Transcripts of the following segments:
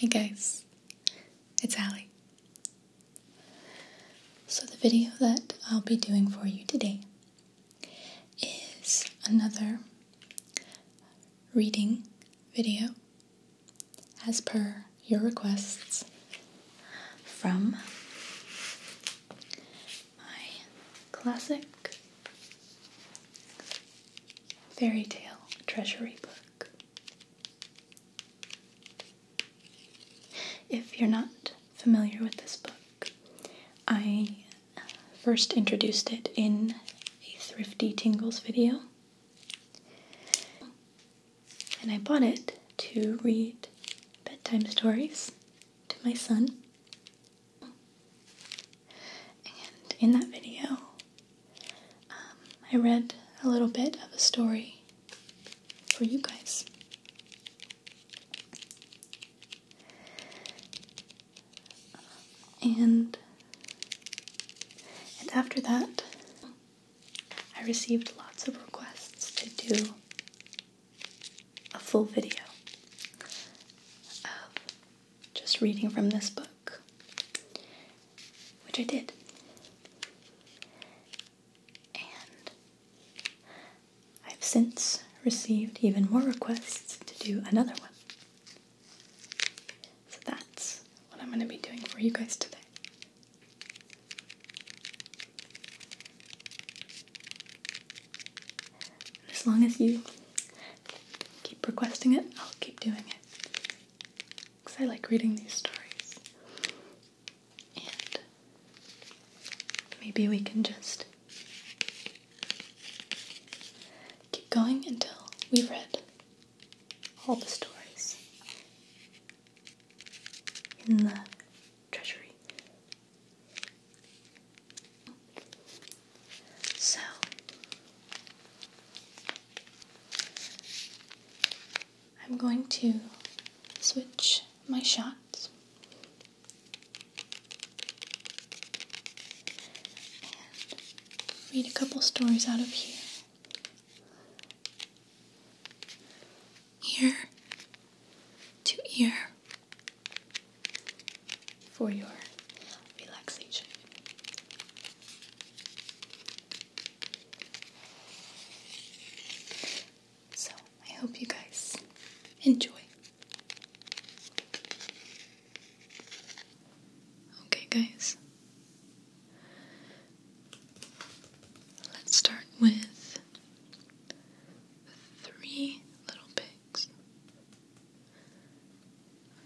Hey guys, it's Allie. So the video that I'll be doing for you today is another reading video as per your requests from my classic fairy tale treasury book. If you're not familiar with this book, I first introduced it in a Thrifty Tingles video. And I bought it to read bedtime stories to my son. And in that video, um, I read a little bit of a story for you guys. And and after that, I received lots of requests to do a full video of just reading from this book, which I did. And I've since received even more requests to do another one. So that's what I'm going to be doing for you guys today. as long as you keep requesting it, I'll keep doing it. Because I like reading these stories. And maybe we can just keep going until we've read all the stories in the treasury. So I'm going to switch my shots and read a couple stories out of here ear to ear for your relaxation. So, I hope you guys enjoy. Okay, guys, Let's start with three little pigs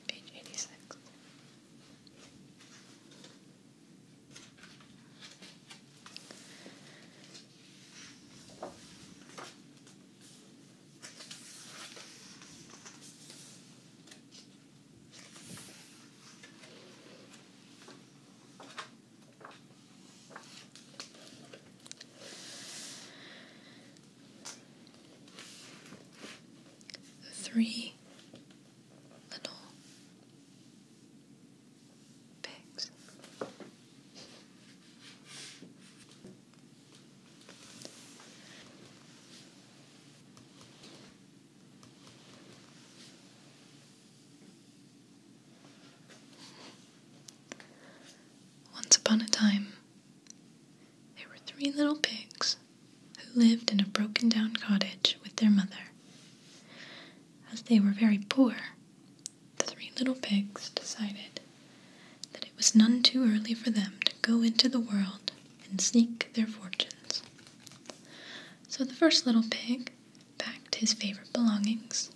page 86. Three little pigs. Once upon a time, there were three little pigs who lived in a broken down cottage with their mother. As they were very poor, the three little pigs decided that it was none too early for them to go into the world and seek their fortunes. So the first little pig packed his favorite belongings,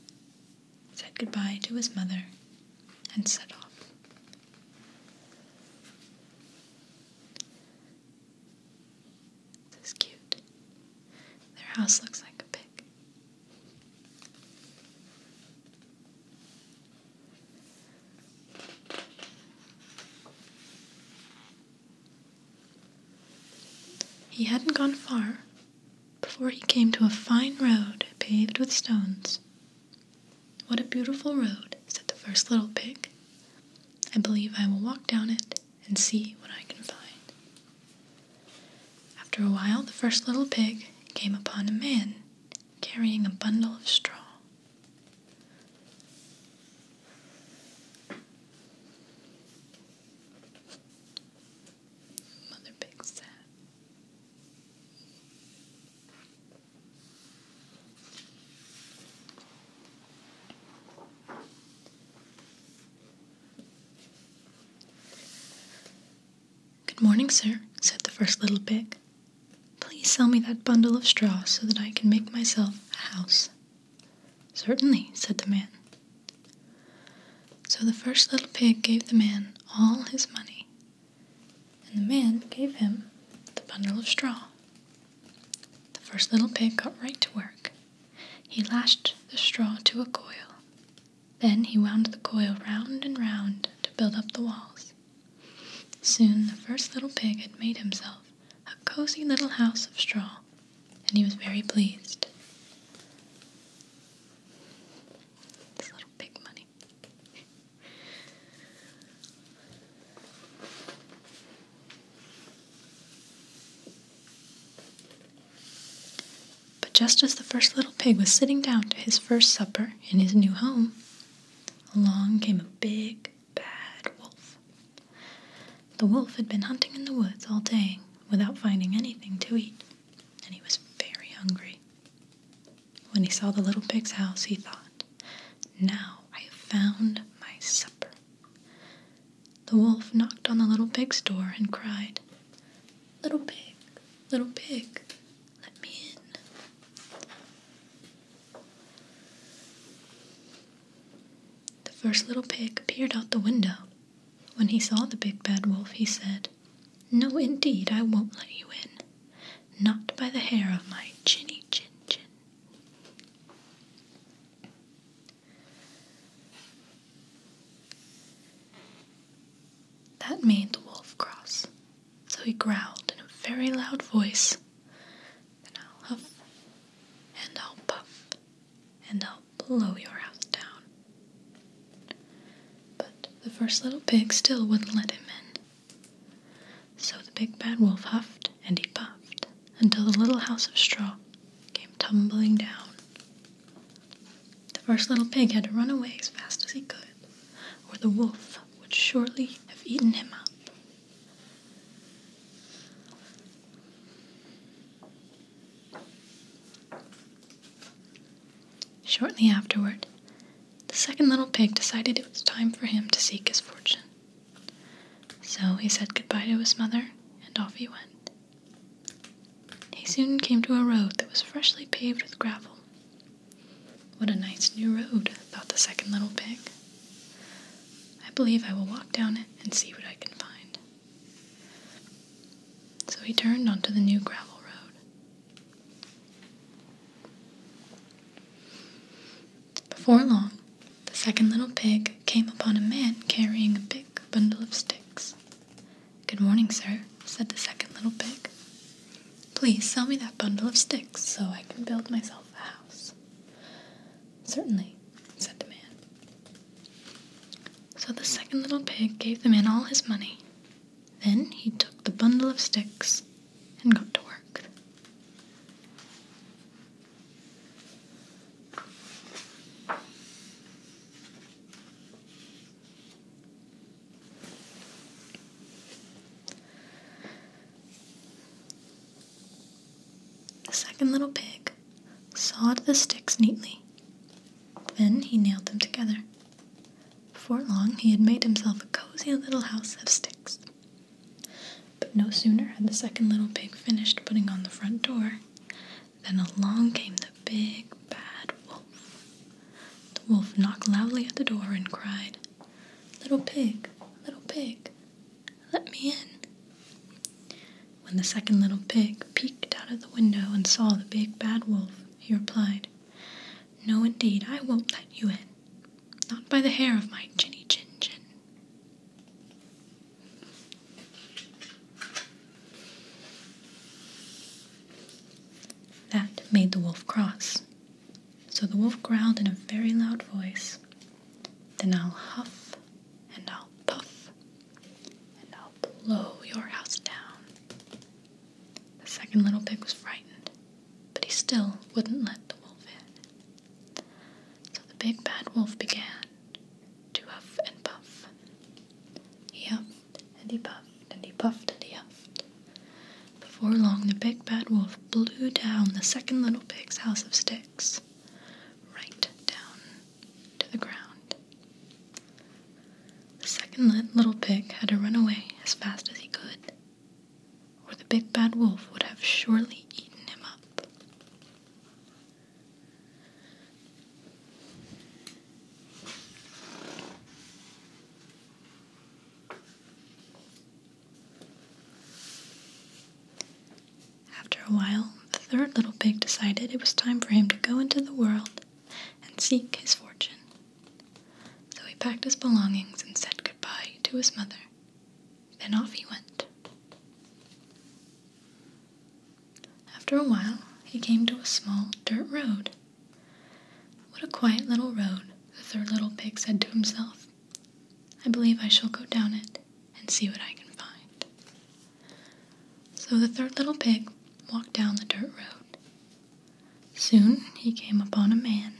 said goodbye to his mother, and set off. This is cute. Their house looks like a pig. He hadn't gone far before he came to a fine road paved with stones. What a beautiful road, said the first little pig. I believe I will walk down it and see what I can find. After a while, the first little pig came upon a man carrying a bundle of straw. Mother Big Sat. Good morning, sir, said the first little pig. Please sell me that bundle of straw so that I can make myself a house. Certainly, said the man. So the first little pig gave the man all his money, and the man gave him the bundle of straw. The first little pig got right to work. He lashed the straw to a coil. Then he wound the coil round and round to build up the walls. Soon the first little pig had made himself a cozy little house of straw, and he was very pleased. This little pig money. But just as the first little pig was sitting down to his first supper in his new home, along came a big, bad wolf. The wolf had been hunting in the woods all day without finding anything to eat, and he was very hungry. When he saw the little pig's house, he thought, Now I have found my supper. The wolf knocked on the little pig's door and cried, Little pig, little pig, let me in. The first little pig peered out the window. When he saw the big bad wolf, he said, No, indeed, I won't let you in. Not by the hair of my chinny chin chin. That made the wolf cross, so he growled in a very loud voice, then I'll huff and I'll puff and I'll blow your house down. But the first little pig still wouldn't let him in. So the big bad wolf huffed and he puffed until the little house of straw came tumbling down. The first little pig had to run away as fast as he could, or the wolf would shortly have eaten him up. Shortly afterward, the second little pig decided it was time for him to seek his fortune. So he said goodbye to his mother, and off he went. He soon came to a road that was freshly paved with gravel. What a nice new road, thought the second little pig. I believe I will walk down it and see what I can find. So he turned onto the new gravel road. Before long, the second little pig came upon a man carrying a big bundle of sticks. Good morning, sir, said the second little pig. Please sell me that bundle of sticks so I can build myself a house. Certainly, said the man. So the second little pig gave the man all his money. Then he took the bundle of sticks and got to work. The second little pig sawed the sticks neatly. Then he nailed them together. Before long, he had made himself a cozy little house of sticks. But no sooner had the second little pig finished putting on the front door than along came the big, bad wolf. The wolf knocked loudly at the door and cried, Little pig, little pig, let me in. When the second little pig peeked out of the window and saw the big bad wolf, he replied, No, indeed, I won't let you in. Not by the hair of my chinny chin chin. That made the wolf cross. So the wolf growled in a very loud voice, Then I'll huff and I'll puff and I'll blow your house down. The second little pig was frightened, but he still wouldn't let the wolf in. So the big bad wolf began to huff and puff. He huffed and he puffed and he puffed and he huffed. Before long, the big bad wolf blew down the second little pig's house of sticks right down to the ground. The second little pig had to run away as fast as he could, or the big bad wolf would have surely eaten him up. After a while, the third little pig decided it was time for him to go into the world and seek his fortune. So he packed his belongings and said goodbye to his mother. Then off he went. After a while, he came to a small dirt road. What a quiet little road, the third little pig said to himself. I believe I shall go down it and see what I can find. So the third little pig walked down the dirt road. Soon he came upon a man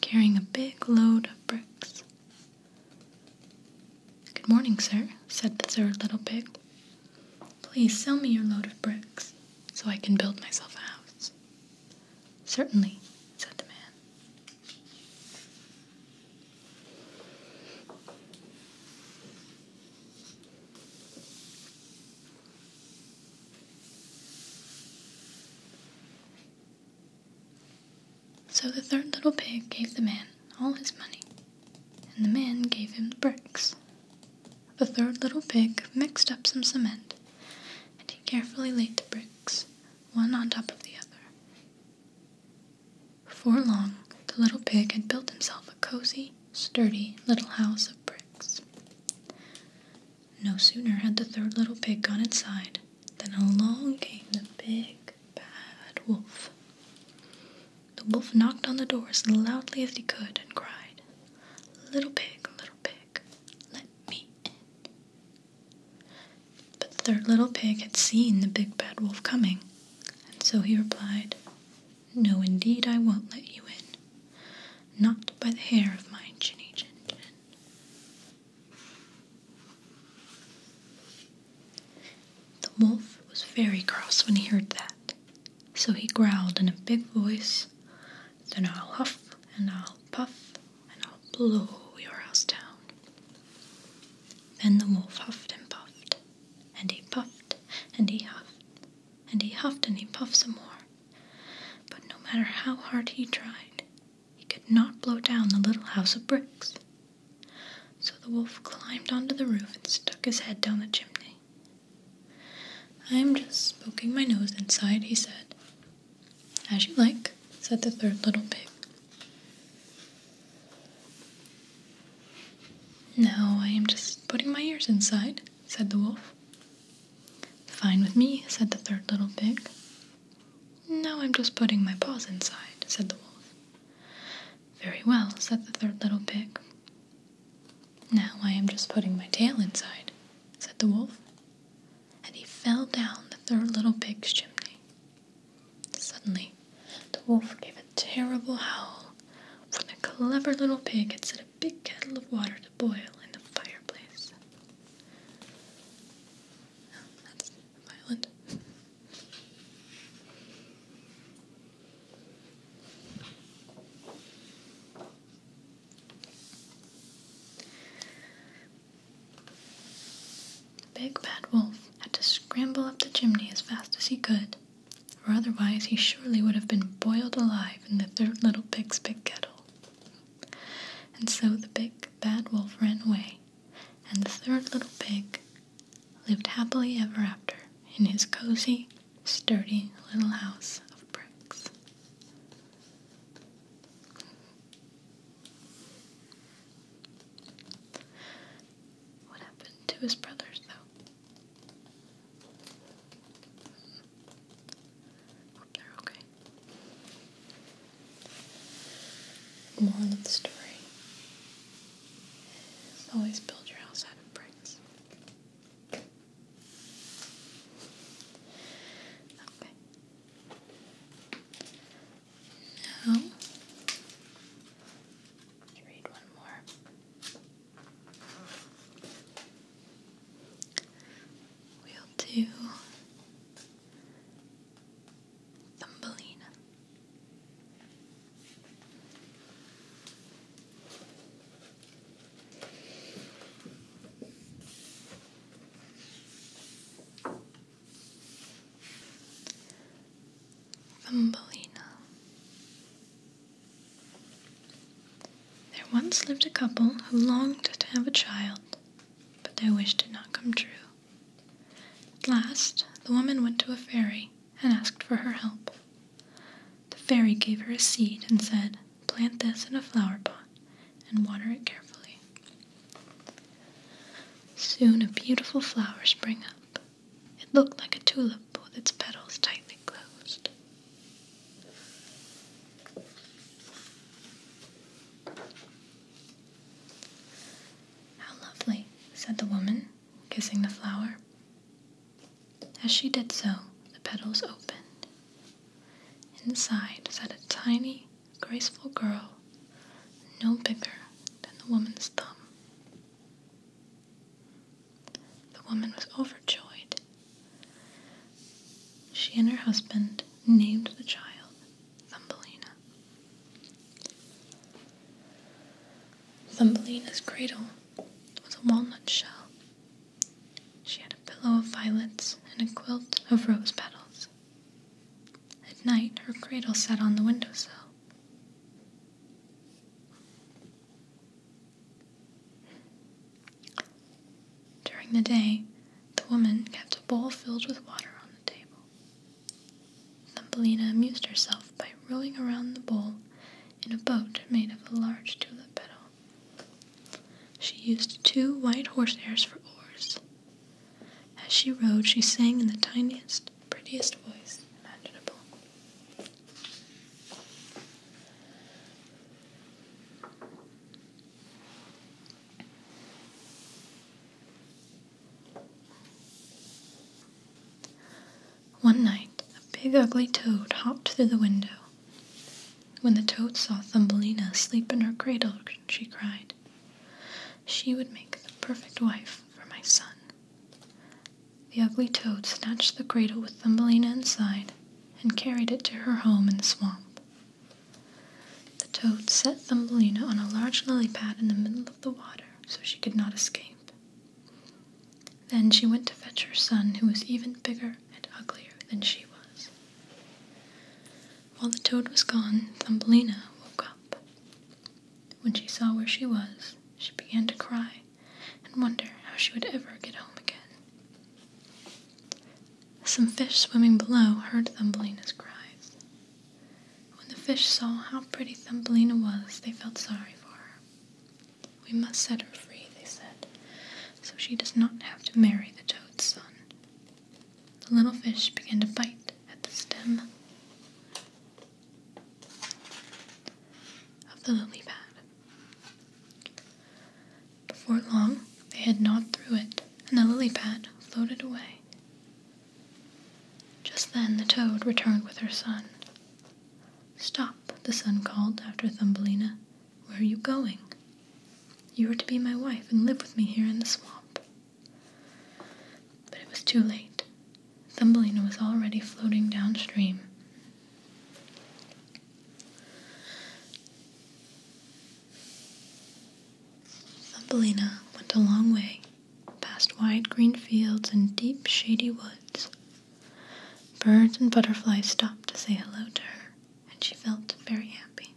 carrying a big load of bricks. Good morning, sir, said the third little pig. Please sell me your load of bricks so I can build myself a house. Certainly, said the man. So the third little pig gave the man all his money, and the man gave him the bricks. The third little pig mixed up some cement, and he carefully laid the bricks, one on top of the other, before long, the little pig had built himself a cozy, sturdy little house of bricks. No sooner had the third little pig gone inside than along came the big, bad wolf. The wolf knocked on the door as loudly as he could and cried, Little pig, little pig, let me in. But the third little pig had seen the big bad wolf coming, and so he replied, No, indeed, I won't let you in. Not by the hair of my chinny chin chin. The wolf was very cross when he heard that, so he growled in a big voice, Then I'll huff and I'll puff and I'll blow your house down. Then the wolf huffed and puffed, and he puffed and he huffed, and he huffed and he puffed some more. But no matter how hard he tried, he could not blow down the little house of bricks. So the wolf climbed onto the roof and stuck his head down the chimney. I am just poking my nose inside, he said. As you like, said the third little pig. Now I am just putting my ears inside, said the wolf. Fine with me, said the third little pig. Now I'm just putting my paws inside, said the wolf. Very well, said the third little pig. Now I am just putting my tail inside, said the wolf. And he fell down the third little pig's chimney. Suddenly, the wolf gave a terrible howl, for the clever little pig had set a big kettle of water to boil in the fireplace. that's violent. The big bad wolf had to scramble up the chimney as fast as he could, or otherwise he surely would have been boiled alive in the third little pig's big kettle. And so the big bad wolf ran away, and the third little pig lived happily ever after in his cozy, sturdy little house of bricks. What happened to his brothers, though? they're okay. Moral of the story always build your house out of bricks. Okay. No. let's read one more. We'll do Thumbelina. Thumbelina. There once lived a couple who longed to have a child, but their wish did not come true. At last, the woman went to a fairy and asked for her help. The fairy gave her a seed and said, Plant this in a flower pot and water it carefully. Soon a beautiful flower sprang up. It looked like a tulip with its petals tightly closed. How lovely, said the woman, kissing the flower. As she did so, the petals opened. Inside sat a tiny, graceful girl, no bigger than the woman's thumb. The woman was overjoyed. She and her husband named the child Thumbelina. Thumbelina's cradle was a walnut shell. She had a pillow of violets and a quilt of rose petals. At night, her cradle sat on the windowsill. During the day, the woman kept a bowl filled with water on the table. Thumbelina amused herself by rowing around the bowl in a boat made of a large tulip petal. She used two white horse hairs for oars. As she rowed, she sang in the tiniest prettiest voice imaginable. One night, a big ugly toad hopped through the window. When the toad saw Thumbelina asleep in her cradle, she cried, She would make the perfect wife for my son. The ugly toad snatched the cradle with Thumbelina inside and carried it to her home in the swamp. The toad set Thumbelina on a large lily pad in the middle of the water so she could not escape. Then she went to fetch her son, who was even bigger and uglier than she was. While the toad was gone, Thumbelina woke up. When she saw where she was, she began to cry and wonder how she would ever get home again. Some fish swimming below heard Thumbelina's cries. When the fish saw how pretty Thumbelina was, they felt sorry for her. We must set her free, they said, so she does not have to marry the toad's son. The little fish began to bite at the stem of the lily pad. Before long, they had gnawed through it, and the lily pad floated away. Just then, the toad returned with her son. Stop, the son called after Thumbelina. Where are you going? You are to be my wife and live with me here in the swamp. But it was too late. Thumbelina was already floating downstream. Thumbelina went a long way, past wide green fields and deep shady woods. Birds and butterflies stopped to say hello to her, and she felt very happy.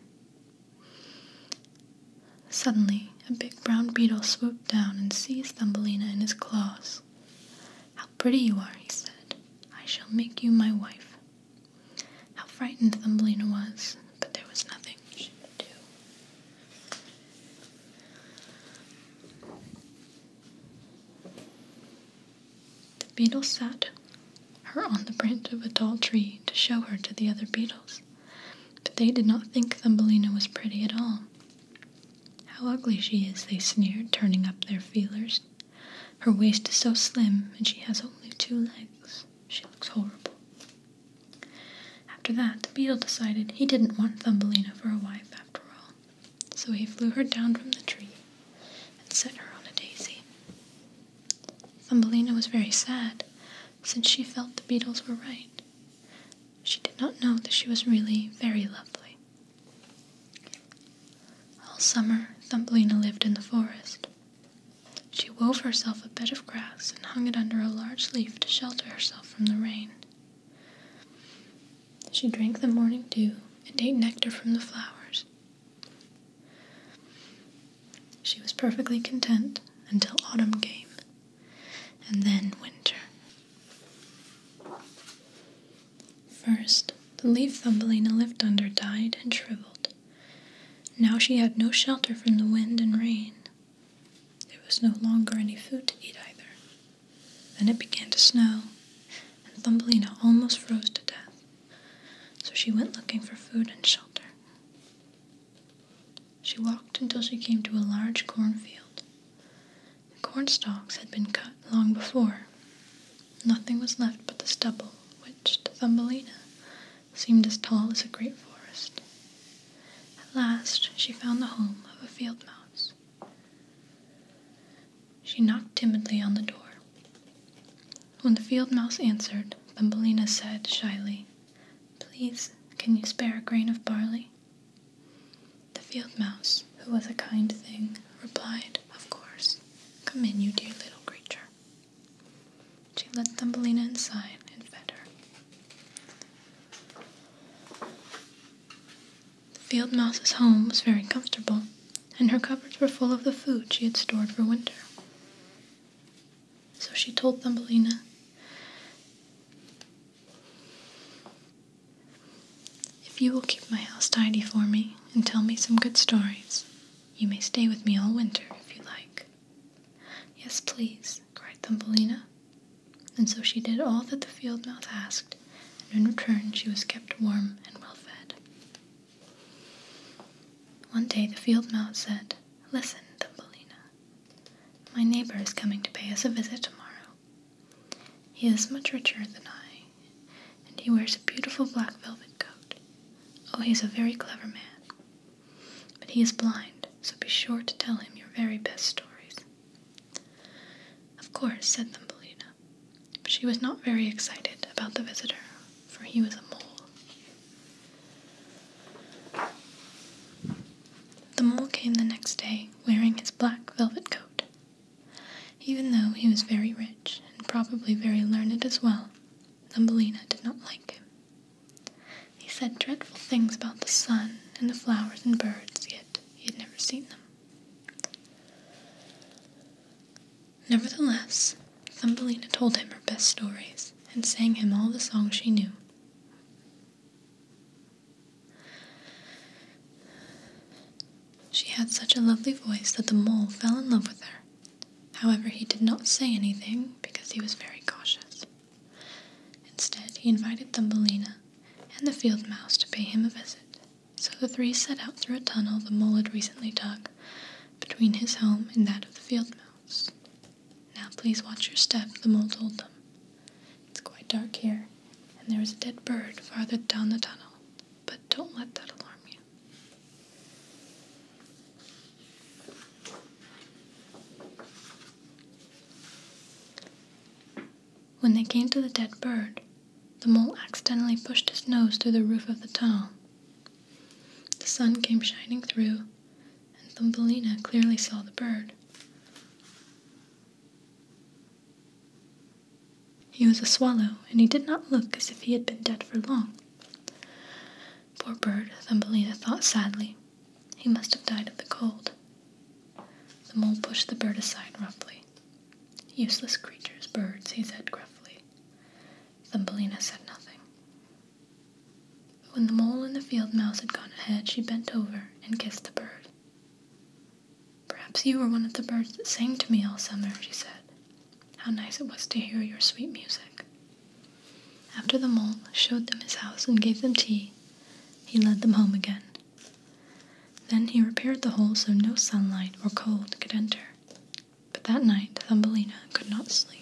Suddenly, a big brown beetle swooped down and seized Thumbelina in his claws. How pretty you are, he said. I shall make you my wife. How frightened Thumbelina was, but there was nothing she could do. The beetle sat her on the branch of a tall tree to show her to the other beetles, but they did not think Thumbelina was pretty at all. How ugly she is, they sneered, turning up their feelers. Her waist is so slim, and she has only two legs. She looks horrible. After that, the beetle decided he didn't want Thumbelina for a wife after all, so he flew her down from the tree and set her on a daisy. Thumbelina was very sad, since she felt the beetles were right. She did not know that she was really very lovely. All summer, Thumbelina lived in the forest. She wove herself a bed of grass and hung it under a large leaf to shelter herself from the rain. She drank the morning dew and ate nectar from the flowers. She was perfectly content until autumn came and then winter. First, the leaf Thumbelina lived under died and shriveled. Now she had no shelter from the wind and rain. There was no longer any food to eat either. Then it began to snow, and Thumbelina almost froze to death. So she went looking for food and shelter. She walked until she came to a large cornfield. The corn stalks had been cut long before. Nothing was left but the stubble, which to Thumbelina seemed as tall as a great forest. At last she found the home of a field mouse. She knocked timidly on the door. When the field mouse answered, Thumbelina said shyly, Please, can you spare a grain of barley? The field mouse, who was a kind thing, replied, Of course. Come in, you dear little creature. She let Thumbelina inside and fed her. The field mouse's home was very comfortable, and her cupboards were full of the food she had stored for winter. So she told Thumbelina, if you will keep my house tidy for me and tell me some good stories, you may stay with me all winter if you like. Yes, please, cried Thumbelina. And so she did all that the field mouse asked, and in return she was kept warm and well fed. One day the field mouse said, Listen, Thumbelina, my neighbor is coming to pay us a visit tomorrow. He is much richer than I, and he wears a beautiful black velvet coat. Oh, he is a very clever man. But he is blind, so be sure to tell him your very best stories. Of course, said Thumbelina. But she was not very excited about the visitor, for he was a mole. The mole came the next day wearing his black velvet coat. Even though he was very rich and probably very learned as well, Thumbelina did not like him. He said dreadful things about the sun and the flowers and birds, yet he had never seen them. Nevertheless, Thumbelina told him her best stories and sang him all the songs she knew. She had such a lovely voice that the mole fell in love with her. However, he did not say anything because he was very cautious. Instead, he invited Thumbelina and the field mouse to pay him a visit. So the three set out through a tunnel the mole had recently dug between his home and that of the field mouse. Now please watch your step, the mole told them. It's quite dark here, and there is a dead bird farther down the tunnel, but don't let that alarm you. When they came to the dead bird, the mole accidentally pushed his nose through the roof of the tunnel. The sun came shining through, and Thumbelina clearly saw the bird. He was a swallow, and he did not look as if he had been dead for long. Poor bird, Thumbelina thought sadly. He must have died of the cold. The mole pushed the bird aside roughly. Useless creatures, birds, he said gruffly. Thumbelina said nothing. When the mole and the field mouse had gone ahead, she bent over and kissed the bird. Perhaps you were one of the birds that sang to me all summer, she said. How nice it was to hear your sweet music. After the mole showed them his house and gave them tea, he led them home again. Then he repaired the hole so no sunlight or cold could enter. But that night, Thumbelina could not sleep.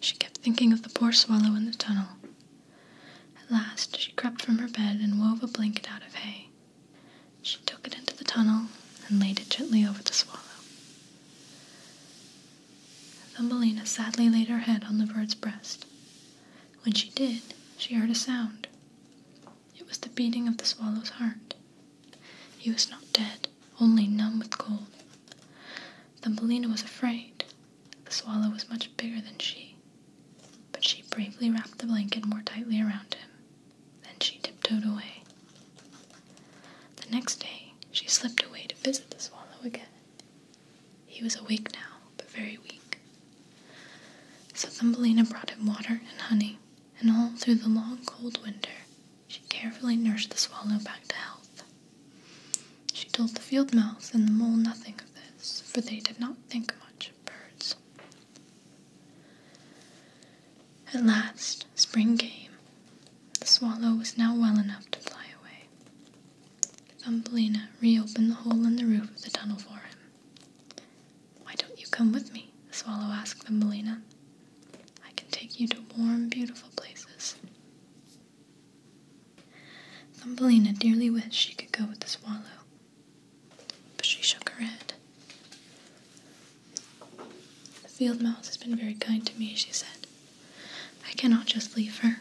She kept thinking of the poor swallow in the tunnel. At last she crept from her bed and wove a blanket out of hay. She took it into the tunnel and laid it gently over the swallow. Thumbelina sadly laid her head on the bird's breast. When she did, she heard a sound. It was the beating of the swallow's heart. He was not dead only numb with cold. Thumbelina was afraid. The swallow was much bigger than she, but she bravely wrapped the blanket more tightly around him. Then she tiptoed away. The next day, she slipped away to visit the swallow again. He was awake now, but very weak. So Thumbelina brought him water and honey, and all through the long cold winter she carefully nursed the swallow back to health. She told the field mouse and the mole nothing of this, for they did not think much of birds. At last, spring came. The swallow was now well enough to fly away. Thumbelina reopened the hole in the roof of the tunnel for him. Why don't you come with me? the swallow asked Thumbelina. I can take you to warm, beautiful places. Thumbelina dearly wished she could go with the swallow, but she shook her head. The field mouse has been very kind to me, she said. I cannot just leave her.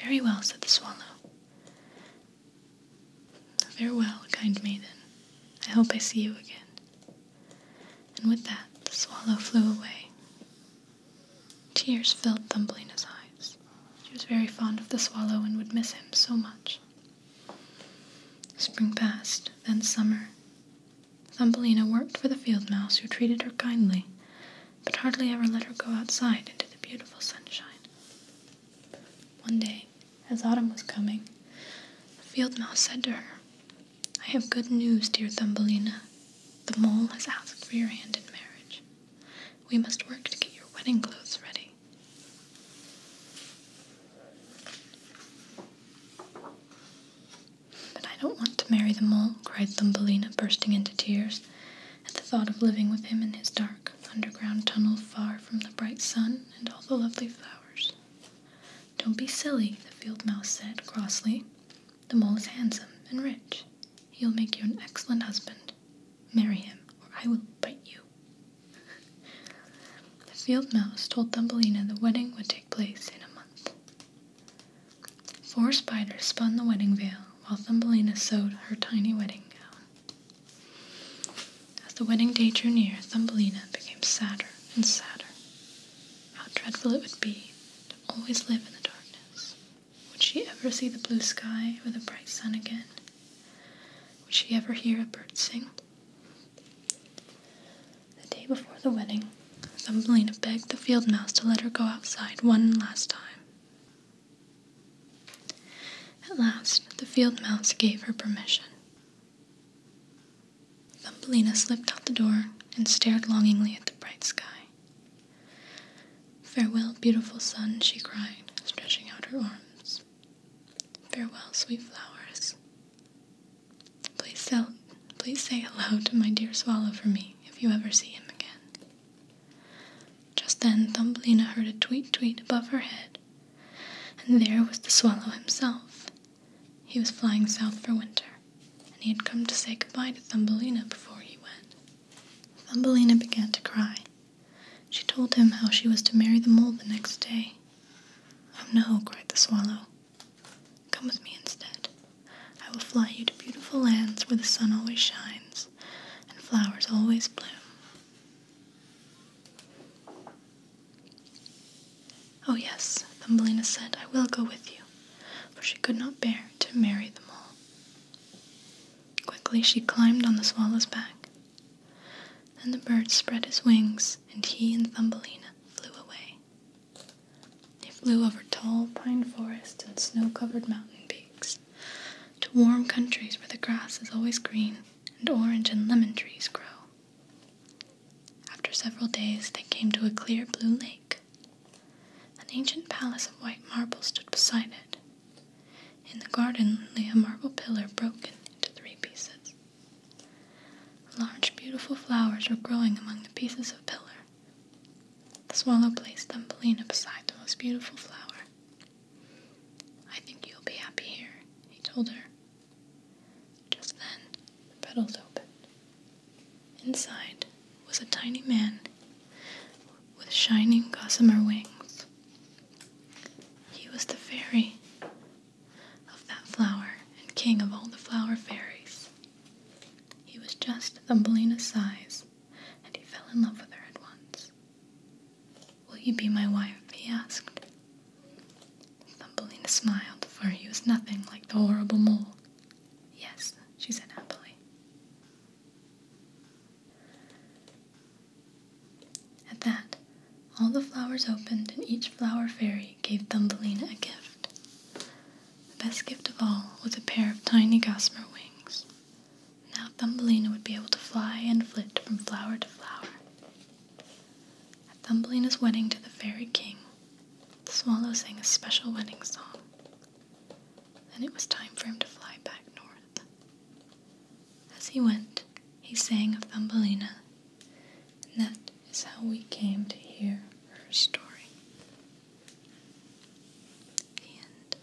Very well, said the swallow. Very well, kind maiden. I hope I see you again. And with that, the swallow flew away. Tears filled Thumbelina's eyes. She was very fond of the swallow and would miss him so much. Spring passed, then summer. Thumbelina worked for the field mouse who treated her kindly, but hardly ever let her go outside into the beautiful sunshine. One day, as autumn was coming, the field mouse said to her, I have good news, dear Thumbelina. The mole has asked for your hand in marriage. We must work to get your wedding clothes ready. But I don't want to marry the mole, cried Thumbelina, bursting into tears at the thought of living with him in his dark underground tunnel far from the bright sun and all the lovely flowers. Don't be silly, the field mouse said crossly the mole is handsome and rich. He'll make you an excellent husband. Marry him, or I will bite you. the field mouse told Thumbelina the wedding would take place in a month. Four spiders spun the wedding veil while Thumbelina sewed her tiny wedding gown. As the wedding day drew near, Thumbelina became sadder and sadder. How dreadful it would be to always live in the dark. Would she ever see the blue sky or the bright sun again? Would she ever hear a bird sing? The day before the wedding, Thumbelina begged the field mouse to let her go outside one last time. At last, the field mouse gave her permission. Thumbelina slipped out the door and stared longingly at the bright sky. Farewell, beautiful sun, she cried, stretching out her arms. Farewell, sweet flowers. Please, sell, please say hello to my dear swallow for me if you ever see him again. Just then, Thumbelina heard a tweet tweet above her head, and there was the swallow himself. He was flying south for winter and he had come to say goodbye to Thumbelina before he went. Thumbelina began to cry. She told him how she was to marry the mole the next day. Oh no, cried the swallow. Come with me instead. I will fly you to beautiful lands where the sun always shines and flowers always bloom. Oh, yes, Thumbelina said, I will go with you for she could not bear to marry them all. Quickly she climbed on the swallow's back. Then the bird spread his wings, and he and Thumbelina flew away. They flew over tall pine forests and snow covered mountain peaks, to warm countries where the grass is always green and orange and lemon trees grow. After several days, they came to a clear blue lake. An ancient palace of white marble stood beside it. In the garden lay a marble pillar broken into three pieces. Large, beautiful flowers were growing among the pieces of pillar. The swallow placed them Thumbelina beside the most beautiful flower. I think you'll be happy here, he told her. Just then, the petals opened, Inside was a tiny man with shining gossamer wings. He was the fairy of that flower and king of all the flower fairies. He was just Thumbelina's size, and he fell in love with her at once. Will you be my wife? he asked. Thumbelina smiled, for he was nothing like the horrible mole Yes, she said happily. At that, all the flowers opened, and each flower fairy gave Thumbelina a gift. The best gift of all was a pair of tiny gossamer wings. Now Thumbelina would be able to fly and flit from flower to flower. At Thumbelina's wedding to the fairy king, the swallow sang a special wedding song. Then it was time for him to fly back north. As he went, he sang of Thumbelina, and that is how we came to hear her story. The end.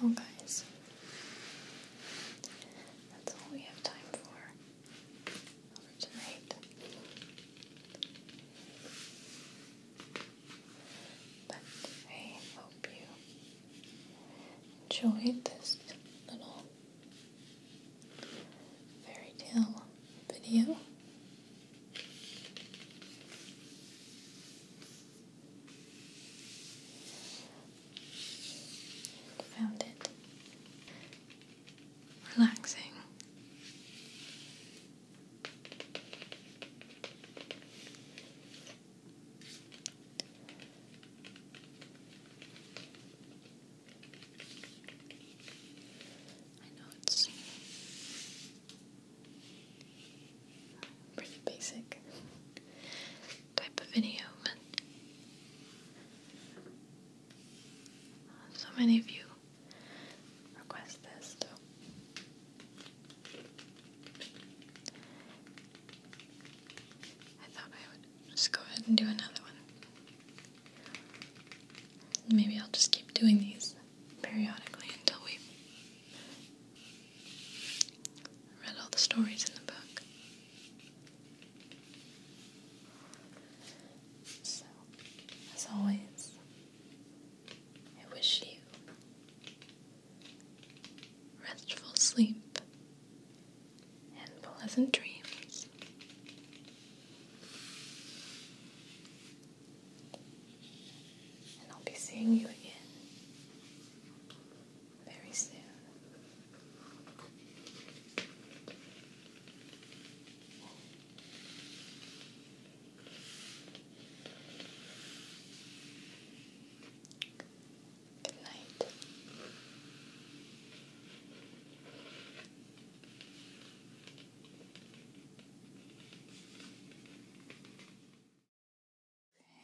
Well, oh, guys, that's all we have time for tonight. But I hope you enjoyed this little fairy tale video. Found it relaxing. I know it's Pretty basic type of video, but so many of you request this, I thought I would just go ahead and do another one. Maybe I'll just keep doing these periodically until we read all the stories in the book. So, as always, I wish you restful sleep and pleasant dreams. And I'll be seeing you again very soon. Good night.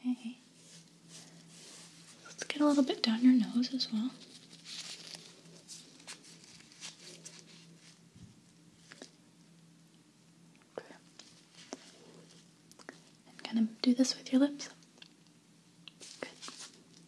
Okay. Let's get a little bit down your nose as well. And kind of do this with your lips. Good.